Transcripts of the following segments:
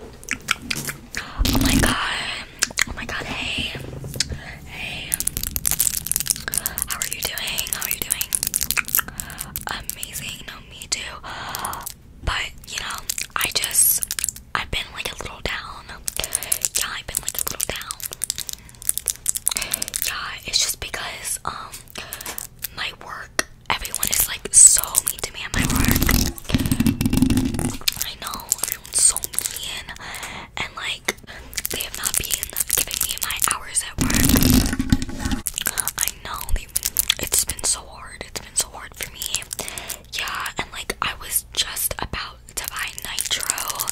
Oh my god. Oh my god. Hey. Hey. How are you doing? How are you doing? Amazing. No, me too. But, you know, I just, I've been like a little down. Yeah, I've been like a little down. Yeah, it's just because, um, my work, everyone is like so mean to me at my work. I know, everyone's so mean, and like, they have not been giving me my hours at work. I know, it's been so hard, it's been so hard for me. Yeah, and like, I was just about to buy Nitro,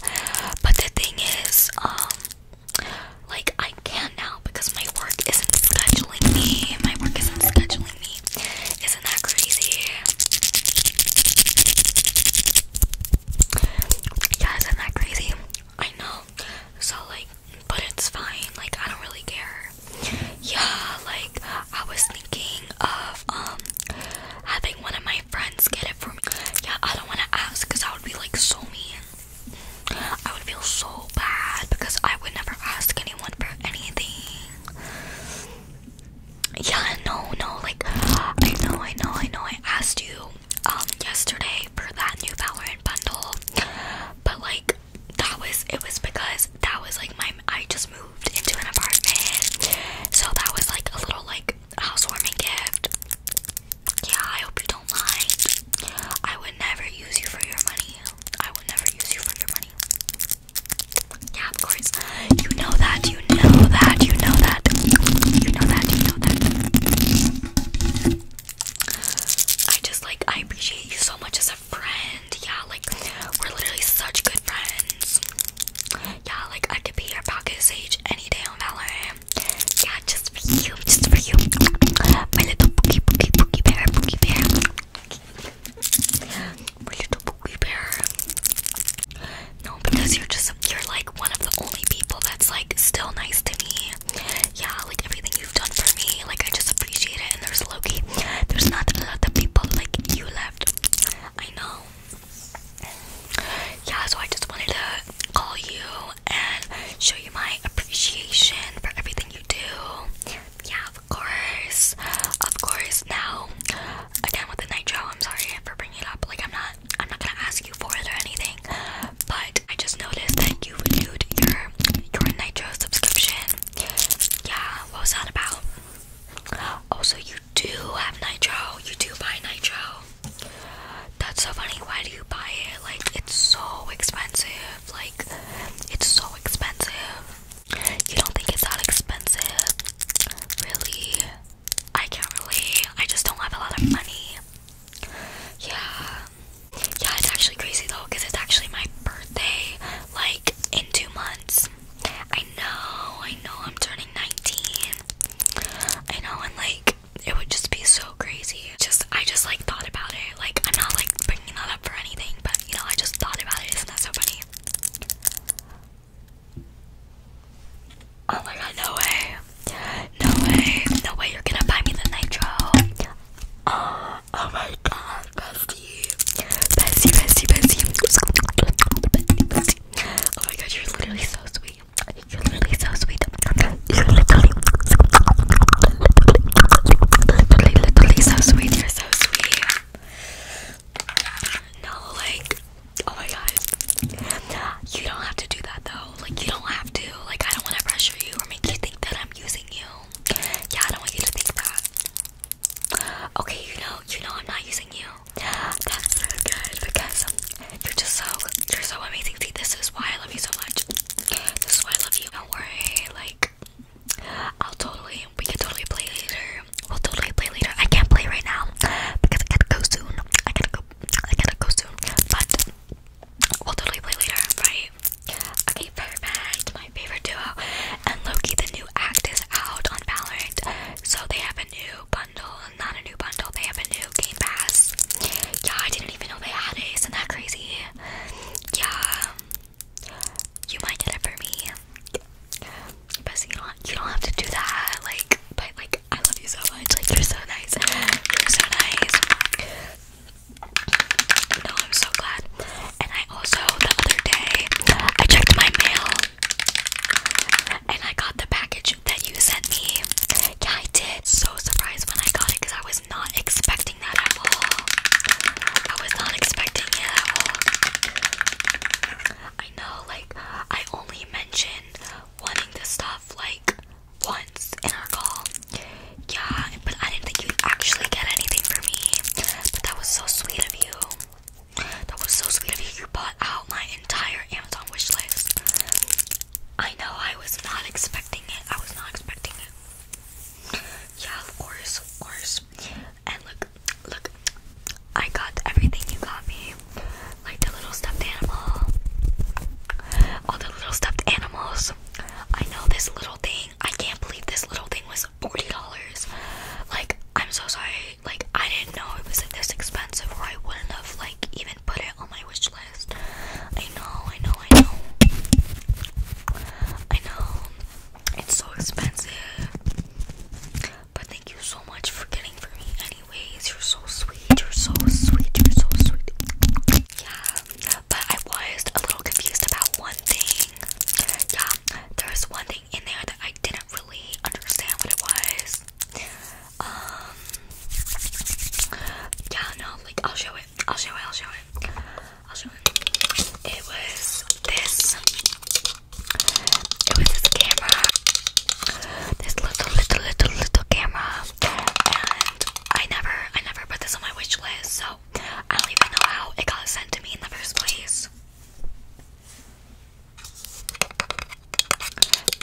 but the thing is, um, like, I can not now because my work isn't scheduling me, my work isn't scheduling me isn't that crazy? Yeah, isn't that crazy? I know. So, like, but it's fine. Like, I don't really care. Yeah, like, I was thinking of, um, having one of my friends get it for me. Yeah, I don't want to ask because I would be, like, so mean. I would feel so bad because I would never ask anyone for anything. Yeah, no, no, like I know, I know, I know. I asked you um yesterday for that new Valorant bundle, but like that was it was because that was like my I just moved into an apartment, so that was like a little like housewarming gift. Yeah, I hope you don't mind. I would never use you for your money. I would never use you for your money. Yeah, of course. You know that, you know that, you know that. You know that, you know that. I just like, I appreciate you so much as a friend. Yeah, like, we're literally such good friends. Yeah, like, I could be your pocket sage any day on Valorant. Yeah, just for you, just for you. My little bookie, bookie, bookie bear, bookie bear little booby bear. No, because you're just you're like one of the only people that's like still nice to me. Yeah, like everything you've done for me, like I just appreciate it. And there's Loki. There's not a lot of people like you left. I know. Yeah, so I just wanted to call you and show you my appreciation for everything you do yeah, of course, of course. Now, again with the nitro, I'm sorry for bringing it up. Like, I'm not, I'm not gonna ask you for it or anything. But I just noticed that you renewed your your nitro subscription. Yeah, what was that about? Oh, so you do have nitro. You do buy nitro. That's so funny. Why do you buy it? Like, it's so expensive. Like, it's so expensive. You don't think it's that expensive? Really? I can't really. I just don't have a lot of money. Yeah. Yeah, it's actually crazy though, because it's actually my birthday, like in two months. I know, I know, I'm turning 19. I know, and like, it would just be so crazy. Just, I just like thought about it. Like, I'm not like bringing that up for anything, but you know, I just thought about it. Isn't that so funny? Oh my god, no way. No way. No way you're gonna buy me the nitro. Uh, oh, my god, bestie. Bestie, bestie, bestie. bestie. Oh my god, you're literally so sweet. You're literally so sweet. You're literally so sweet. You're so sweet. No, like, oh my god. You don't have to do that though. Like, you don't have to. Like, I don't want to pressure you or make you think that I'm using you. Yeah, I don't want you to think that. Okay, you know, you know I'm not using you. That's so good because you're just so, you're so amazing. See, this is why I love you so much. This is why I love you. Don't worry, like, I'll totally, we can totally play later. We'll totally play later. I can't play right now because I gotta go soon. I gotta go, I gotta go soon. But we'll totally play later, right? Okay, perfect. My favorite duo. And Loki, the new act is out on Valorant. So they have a new bundle. Not a new bundle, they have a new game pass. Yeah, I didn't even know they had it. Isn't that crazy? Yeah you might get it for me. But you don't you don't have to do that. Like, but like I love you so much. Like you're so nice. You're so nice. No, I'm so glad. And I also the other day I checked my mail and I got the package that you sent me. Yeah, I did. So surprised when I got it because I was not expecting that at all. I was not expecting it at all. I know, like, I only mentioned wanting this stuff like once in our call. Yeah, but I didn't think you'd actually get anything for me. But that was so sweet of you. That was so sweet of you. You bought out my entire Amazon wish list. I know, I was not expecting it. I was not expecting it. Yeah, of course, of course. And look, look, I got everything you got me. Like the little stuffed animal. All the little stuffed animals. I know this little thing. I can't believe this little thing was $40. Like, I'm so sorry. Like, I didn't know it was this expensive or I wouldn't have, like, even put it on my wish list. I know, I know, I know. I know. It's so expensive. But thank you so much for getting for me anyways. You're so sweet. You're so sweet. You're so sweet. Yeah. But I was a little confused about one thing. Yeah. There's one thing in there that I didn't really understand what it was. Um Yeah, no, like I'll show it. I'll show it. I'll show it. I'll show it. It was this it was this camera, this little, little, little, little camera, and I never, I never put this on my wish list, so I don't even know how it got sent to me in the first place.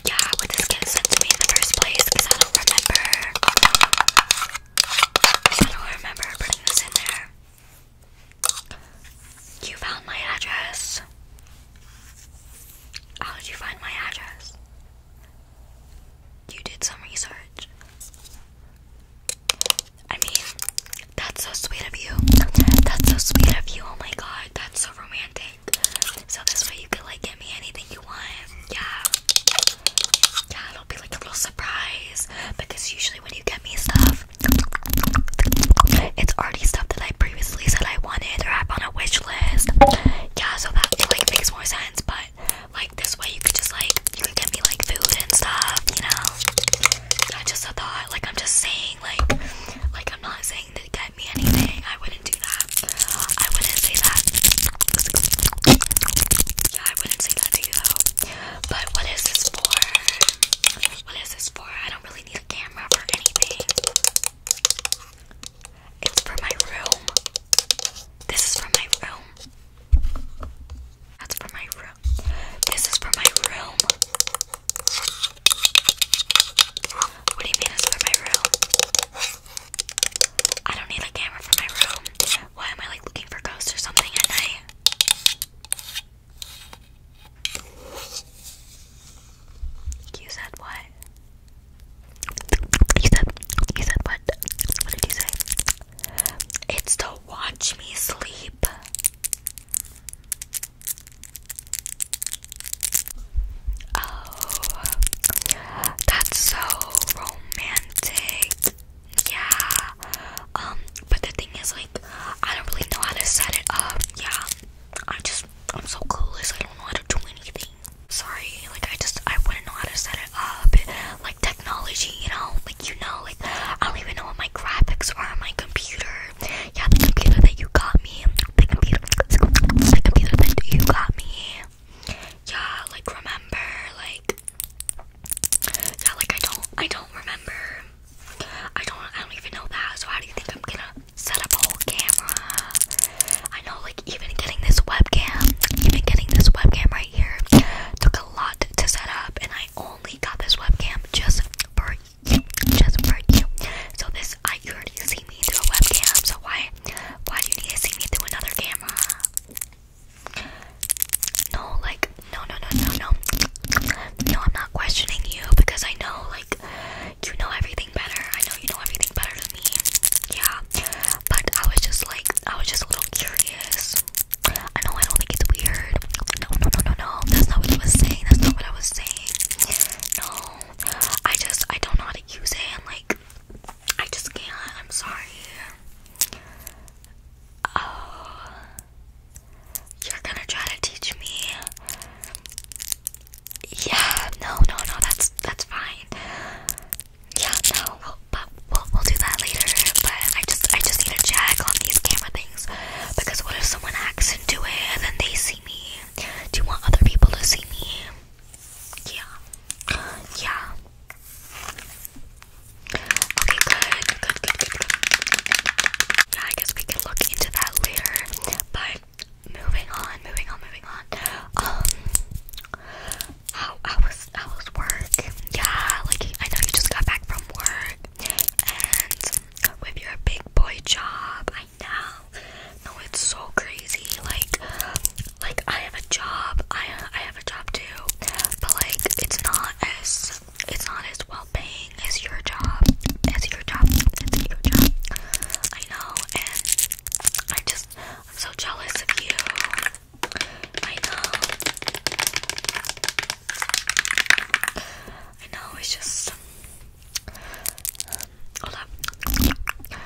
Yeah, would this get sent to me in the first place? I don't remember. I don't remember putting this in there. You found my address. How did you find my address? You did some research. I mean, that's so sweet of you. That's so sweet of you. Oh my god, that's so romantic. So this way you could like get me anything you want. Yeah. Yeah, it'll be like a little surprise. Because usually when you get me stuff, it's already stuff that I previously said I wanted or I on a wish list. Yeah, so that like makes more sense, but like this way you could just like you could get me like food and stuff, you know. I just thought, like I'm just saying like like I'm not saying to get me anything. I wouldn't do that. I wouldn't say that. Yeah, I wouldn't say that to you though. But what is this for? What is this for? I don't really need a camera for anything. It's for my room. This is for my room. That's for my room. This is for my room. What do you mean it's for my room? I don't need a camera for my room. Why am I like looking for ghosts or something at night? You said what? You said you said what? What did you say? It's to watch me sleep. Oh, that's so romantic. Yeah. Um, but the thing is, like, I don't really know how to set it up. Yeah, I just, I'm so clueless. I don't know how to do anything. Sorry, like, I just, I wouldn't know how to set it up. Like, technology, you know, like, you know, like, I don't even know what my graphics are on my computer. Yeah, the computer that you got me. the computer that you got me. Yeah, like, remember, like, yeah, like, I don't, I don't remember I don't I don't even know that, so how do you think I'm gonna set up a whole camera? I know like even getting this webcam, even getting this webcam right here took a lot to set up and I only got this webcam just for you. Just for you. So this I already see me through a webcam, so why why do you need to see me through another camera? No, like no, no, no, no, no. No, I'm not questioning you because I know, like, you know everything better. I know you know everything better than me. Yeah. But I was just like, I was just a little curious. I know I don't think it's weird. No, no, no, no, no. That's not what I was saying. That's not what I was saying. No. I just, I don't know how to use it. And, like, I just can't. I'm sorry. Oh. You're gonna try to teach me. Yeah, no, no, no, that's that's fine. Yeah, no, we'll, we'll we'll do that later. But I just I just need to check on these camera things because what if someone hacks into it and then they see me? Do you want other people to see me? Yeah, yeah. Okay, good, good, good, good. Yeah, I guess we look into that later. But moving on, moving on, moving on. Um, how I was, I was work. Yeah, like I know you just got back from work, and with your big boy job, I know. No, it's so crazy. Like, like I have a job. I I have a job too, but like it's not as it's not as well paying as your job. As your job. It's your job. I know, and I just, so jealous of you. I know. I know, it's just. Hold up.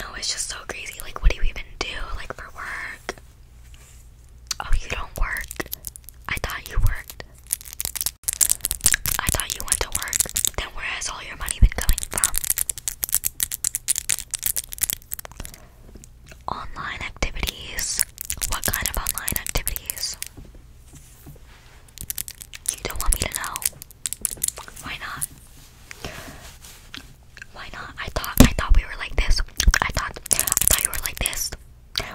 No, it's just so crazy. Like, what do you even do? Like, for work? Oh, you don't work? I thought you worked. I thought you went to work. Then where has all your money been coming from? Online activities. What kind of online activities? You don't want me to know. Why not? Why not? I thought I thought we were like this. I thought I thought you were like this.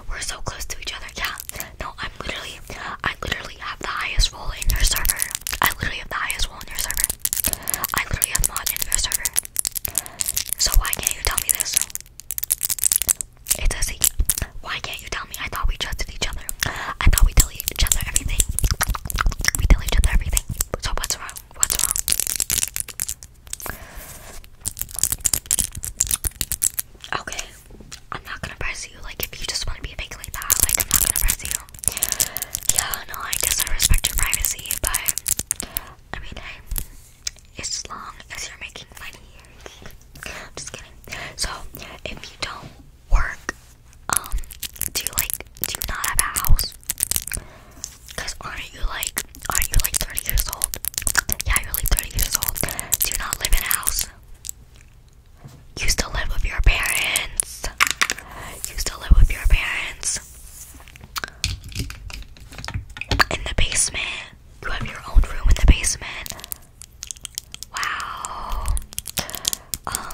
We're so close to each other. Yeah. No, I'm literally, I literally have the highest role in your server. I literally have the highest role in your server. I literally have mod in your server. So why can't you tell me this? It's a secret. Why can't you tell me? I thought we trusted each other. I thought we tell each other everything. We tell each other everything. So what's wrong? What's wrong? Okay. I'm not gonna press you. Like, if you just want to be fake like that, like, I'm not gonna press you. Yeah, no, I guess I respect your privacy, but I mean, hey, as long as you're making money. just kidding. So, if you don't work, um, do you like, do you not have a house? Cause aren't you like, aren't you like 30 years old? Yeah, you're like 30 years old. Do you not live in a house? You still live with your parents. You still live with your parents. In the basement. You have your own room in the basement. Wow. Um,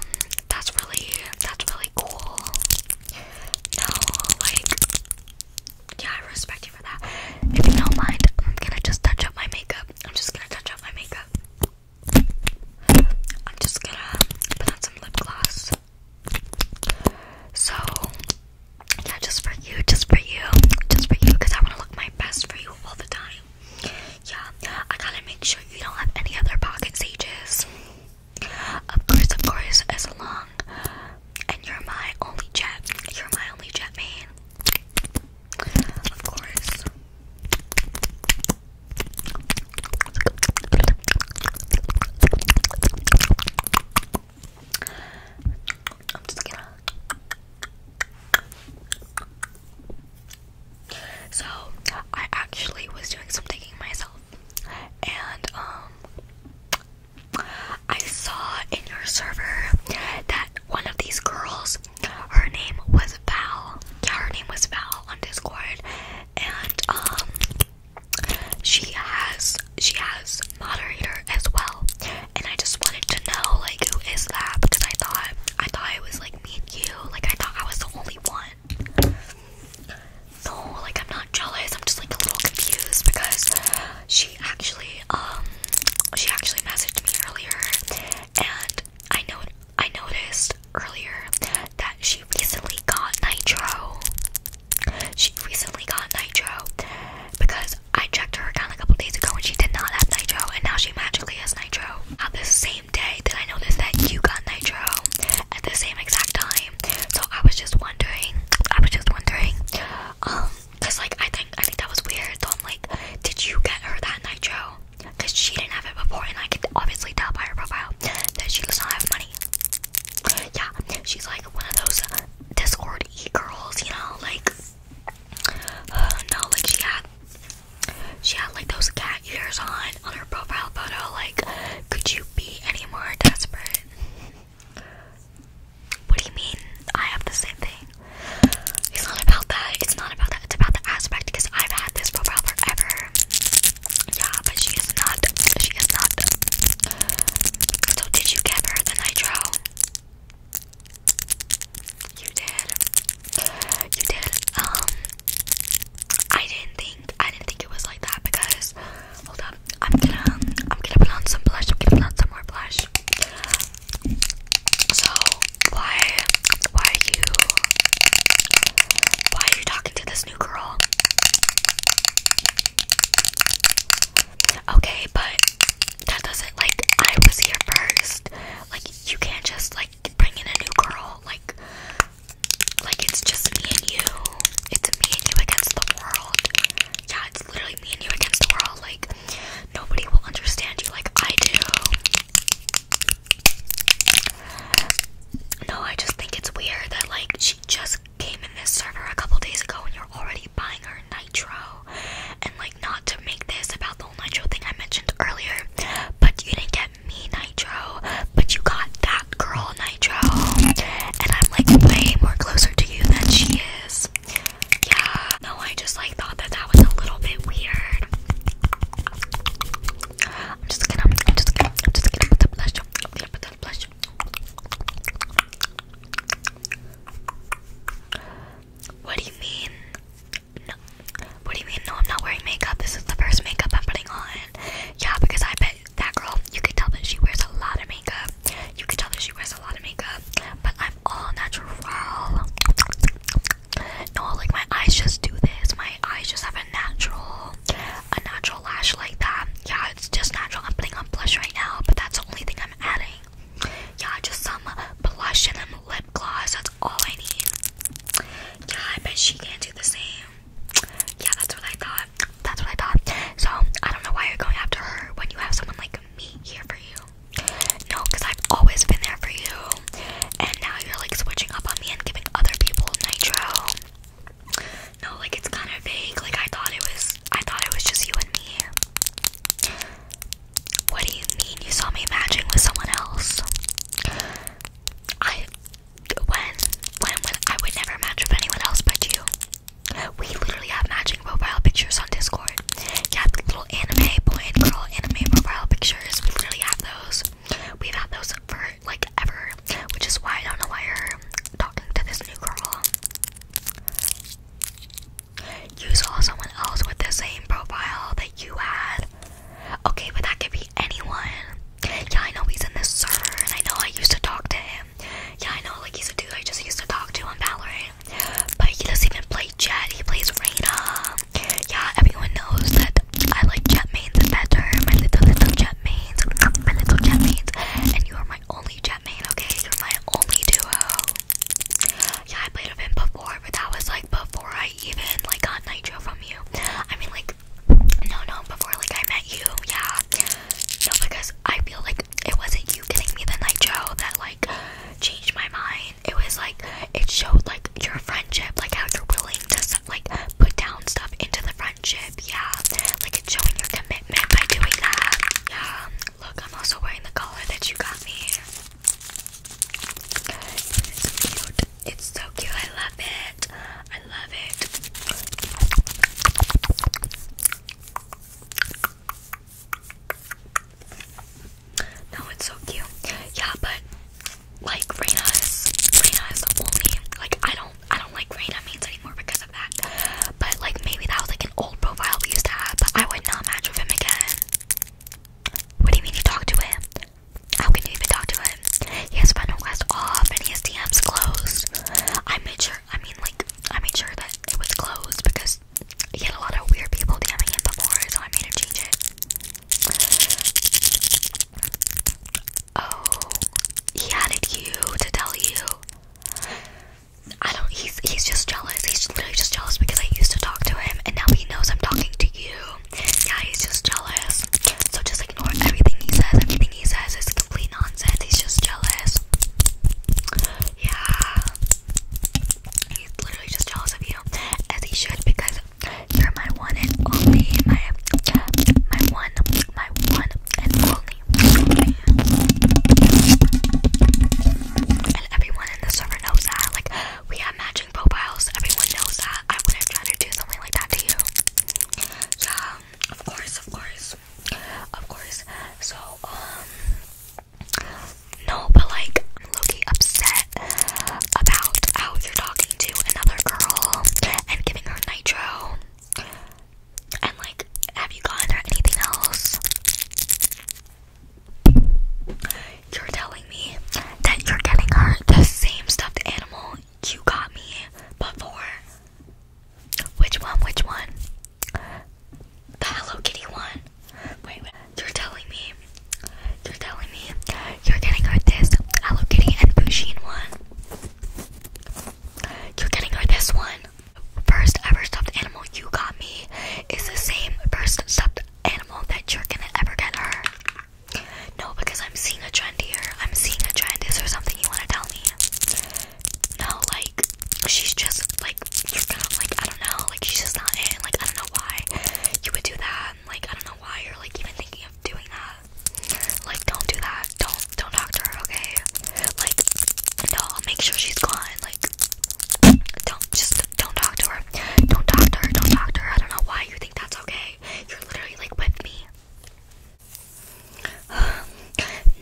that's really that's really cool. No, like yeah, I respect if you don't mind, I'm gonna just touch up my makeup. I'm just gonna touch up my makeup. I'm just gonna put on some lip gloss. So, yeah, just for you, just for you, just for you, because I want to look my best for you all the time. Yeah, I gotta make sure you don't have any other pocket sages. Of course, of course, as long. And you're my only jet. You're my only jet man. Of course. i So, I actually was doing some digging myself, and um, I saw in your server that one of these girls, her name was Val. Yeah, her name was Val on Discord, and um, she has she has moderator as well. And I just wanted to know like who is that because I thought I thought it was like me and you. Like I thought I was the only one. No, like I'm not jealous. I'm just like a little confused because. She she actually um she actually messaged me earlier and I know I noticed earlier that she recently got nitro. She recently got nitro because I checked her account a couple days ago and she did not have nitro and now she magically has nitro. At the same day that I noticed that you got nitro at the same exact time. So I was just wondering I was just wondering um Cause like I think I think that was weird. So I'm like, did you get her that night, Joe? Cause she didn't have it before, and I could obviously tell by her profile that she does not have money. Yeah, she's like one of those Discord e girls, you know, like uh, no, like she had she had like those cat ears on on her profile photo. Like, could you be any more desperate? What do you mean? I have the same thing. It's not about that. It's not about that. It's about the aspect because I've had this profile forever. Yeah, but she is not. She is not. So did you give her the nitro? You did. You did. Um, I didn't think. I didn't think it was like that because. Hold up. I'm gonna. I'm gonna put on some blush. I'm gonna put on some more blush. So why why are you why are you talking to this new girl? Okay, but that doesn't like I was here first. Like you can't just like bring in a new girl. Like like it's just me and you. It's me and you against the world. Yeah, it's literally me and you against the world. Like nobody will understand you like I do. No, I just think it's weird that like she just came in this server a couple days ago and you're already buying her nitro. And like not to make this about the nitro thing I mentioned earlier, but you didn't get me nitro, but you got that girl nitro. And I'm like way more closer to you than she is yeah, no, I just like thought that that was a little bit weird. I'm just gonna, I'm just gonna, I'm just gonna put the blush. I'm gonna put the blush. What do you mean? No. What do you mean? No, I'm not wearing makeup. This is the first makeup I'm putting on. Yeah, because I bet that girl, you could tell that she wears a lot of makeup. You could tell that she wears a lot of makeup. But I am all natural. No, like my eyes just do this. My eyes just have a natural, a natural lash like that. Yeah, it's just natural. I'm putting on blush right now, but that's the only thing I'm adding. Yeah, just some blush and lip gloss. That's all I need. Yeah, I bet she can't do the same. Yeah, that's what I thought. That's what I thought. So I don't know why you're going after her when you have someone like me here for you. No, I've always been there for you. And now you're like switching up on me and giving other people nitro. No, like it's kind of vague. Like I thought it was I thought it was just you and me. What do you mean you saw me matching with someone else? I when when when I would never match with anyone else but you. We literally have matching profile pictures on Discord. Discord. Yeah, the little anime boy and girl anime profile pictures. We literally have those. We've had those for like ever, which is why I don't know why you're talking to this new girl. You saw someone else with the same profile that you had. Okay, but that could be anyone. Yeah, I know he's in this server, and I know I used to talk to him. Yeah, I know, like he's a dude I just used to talk to him, Valorant. But he doesn't even play Jet, he plays Raina. Yeah, everyone knows that I like Jet mains better. My little, little Jet My little Jet And you are my only Jet main, okay? You're my only duo. Yeah, I played with him before, but that was like before I even like got Nitro from you. I mean, like, no, no, before like I met you, yeah. No, because I feel like it wasn't you getting me the Nitro that like changed my mind. It was like it showed like your friendship, like how you're willing to like put down stuff into the friendship. Yeah, like it showing your commitment by doing that. Yeah. Look, I'm also wearing the collar that you got me. It's cute. It's so cute. I love it. I love it. No, it's so cute. Yeah, but like Raina, is is the only like I don't I don't like Raina means anymore because of that. But like maybe that was like an old profile we used to have, but I would not match with him again. What do you mean you talk to him? How can you even talk to him? He has friend request off and he DMs closed. I made sure I mean like I made sure that it was closed because he had a lot of weird people DMing it before, so I made her change it. Oh, he added you to tell you. I don't. He's he's just jealous. He's literally just jealous because I used to talk to him, and now he knows I'm talking to you. Yeah, he's just jealous. So just ignore everything he says. Everything he says is complete nonsense. He's just jealous. Yeah. He's literally just jealous of you, as he should, because you're my one and only, my my one, my one and only. And everyone in the server knows that. Like, we have matching profiles. Everyone knows that. I wouldn't try to do something like that to you. Yeah, of course, of course, of course. So, um. No, but like, i upset about how you're talking to another girl and giving her nitro. And like, have you gotten her anything else? You're telling me that you're getting hurt. the same stuffed animal you got me before. Which one? Which one? The Hello Kitty one. Wait, wait. You're telling me, you're telling me, you're getting her this Hello Kitty and Pusheen one. You're getting her this one. First ever stuffed animal you got me is the same first stuffed animal that you're gonna ever get her. No, because I'm seeing a trend here. I'm seeing a trend. Is there something you wanna tell me? No, like she's just like kind of like I don't know, like she's just not in. Like I don't know why you would do that. And, like I don't know why you're like even thinking of doing that. Like don't do that. Don't don't talk to her, okay? Like no, I'll make sure she's gone. Like don't just don't talk to her. Don't talk to her. Don't talk to her. I don't know why you think that's okay. You're literally like with me.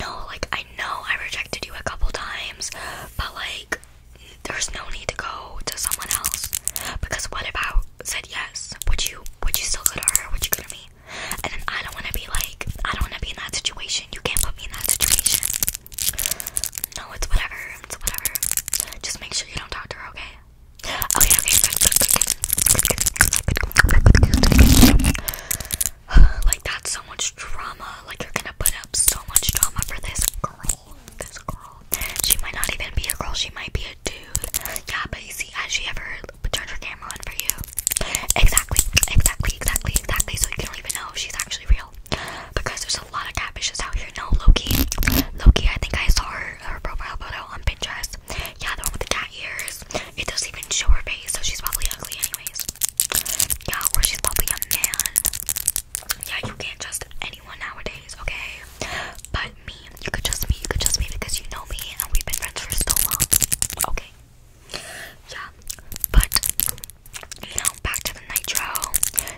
no, like I know I rejected you a couple times, but like like there's no need to go to someone else because what if I said yes? Would you would you still go to her? Would you go to me? And then I don't want to be like I don't want to be in that situation. You can't put me in that situation. No, it's whatever. It's whatever. Just make sure you don't talk to her, okay? Okay, okay. Good, good, good, good. like that's so much drama. Like you're gonna put up so much drama for this girl. She might not even be a girl, she might be a dude. Yeah, but you see, has she ever turned her camera on for you? Exactly, exactly, exactly, exactly. So you don't even know if she's actually real. Because there's a lot of catfishes out here. No, Loki. Loki, I think I saw her, her profile photo on Pinterest. Yeah, the one with the cat ears. It doesn't even show her face, so she's probably ugly anyways. Yeah, or she's probably a man. Yeah, you can't trust anyone nowadays, okay? But me, you could trust me, you could trust me because you know me and we've been friends for so long, okay? Yeah, but you know, back to the nitro.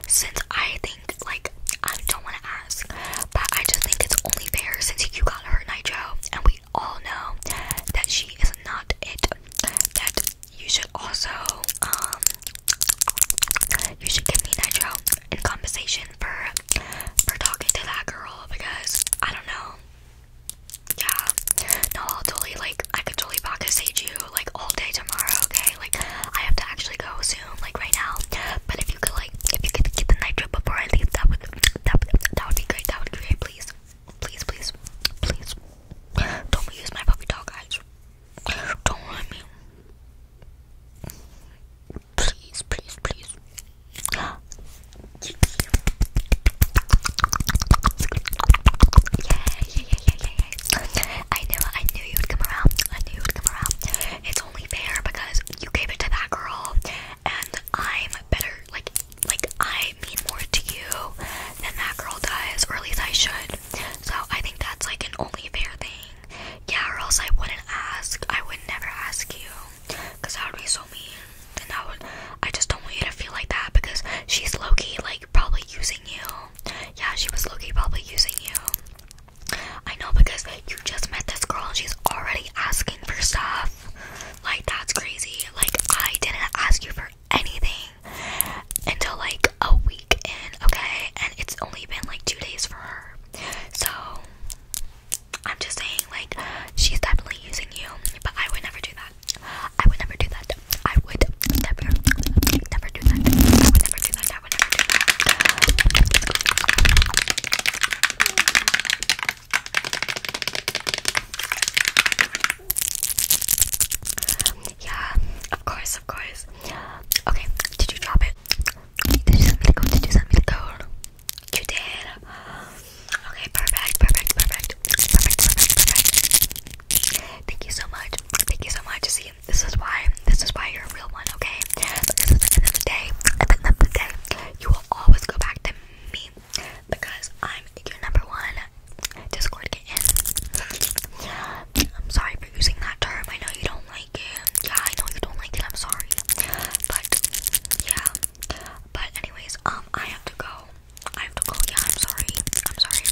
Since I think, like, I don't want to ask, but I just think it's only fair since you got her nitro and we all know that she is not it, that you should also, um, you should give me nitro in compensation for for talking to that girl because I don't know. Yeah. No, I'll totally like I could totally pocket stage you like all day tomorrow, okay? Like I have to actually go soon, like right now. But if you could like if you could get the nitro before I leave, that would that would that would be great. That would be great, please. Please, please, please. Don't use my puppy dog eyes. Don't let me. Please, please, please. yeah, yeah, yeah, yeah, yeah, yeah. I knew, I knew you would come around. I knew you would come around. It's only fair because you gave it to that girl, and I'm better. Like, like I mean more to you than that girl does, or at least I should. So I think that's like an only fair thing. Yeah, or else I wouldn't ask. I would never ask you. Cause that would be so mean. And that would I just don't want you to feel like that because she's Loki, like probably using you. Yeah, she was Loki, probably using you. I know because you just met this girl and she's already asking for stuff. Like that's crazy. Like I didn't ask you for anything until like a week in okay? And it's only been like two days for her. So I'm just saying, like, she's definitely using you, but I would never do that. I would never do that. I would never, never do that. I would never do that. I would never do that. Yeah, of course, of course. Okay, did you drop it? Milk out, did you milk out? You did. Okay, perfect, perfect, perfect, perfect, perfect, perfect. Thank you so much. Thank you so much. See, this is why, this is why you're a real one, okay? This is the end of the day, the end of the day, you will always go back to me because I'm your number one Discord kitten. I'm sorry, using that term. I know you don't like it. Yeah, I know you don't like it. I'm sorry. But yeah. But anyways, um, I have to go. I have to go. Yeah, I'm sorry. I'm sorry.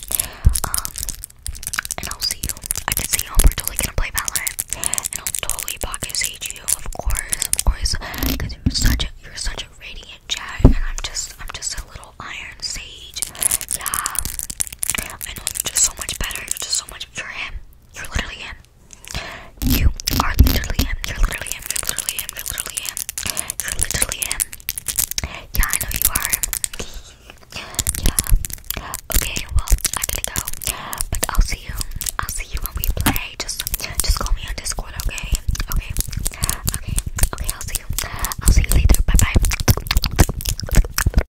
Um, and I'll see you. I can see you. We're totally gonna play Valorant, and I'll totally pocket sage you, of course, of course, because you're such a you're such a radiant jet, and I'm just I'm just a little iron sage. Yeah, I know you're just so much better. You're just so much you're him. You're literally him. You are literally him. You're literally him. You're literally him. You're literally him. You're literally him. Yeah, I know you are. yeah. Okay, well, I gotta go. But I'll see you. I'll see you when we play. Just just call me on Discord, okay? Okay. Okay. Okay, I'll see you. I'll see you later. Bye bye.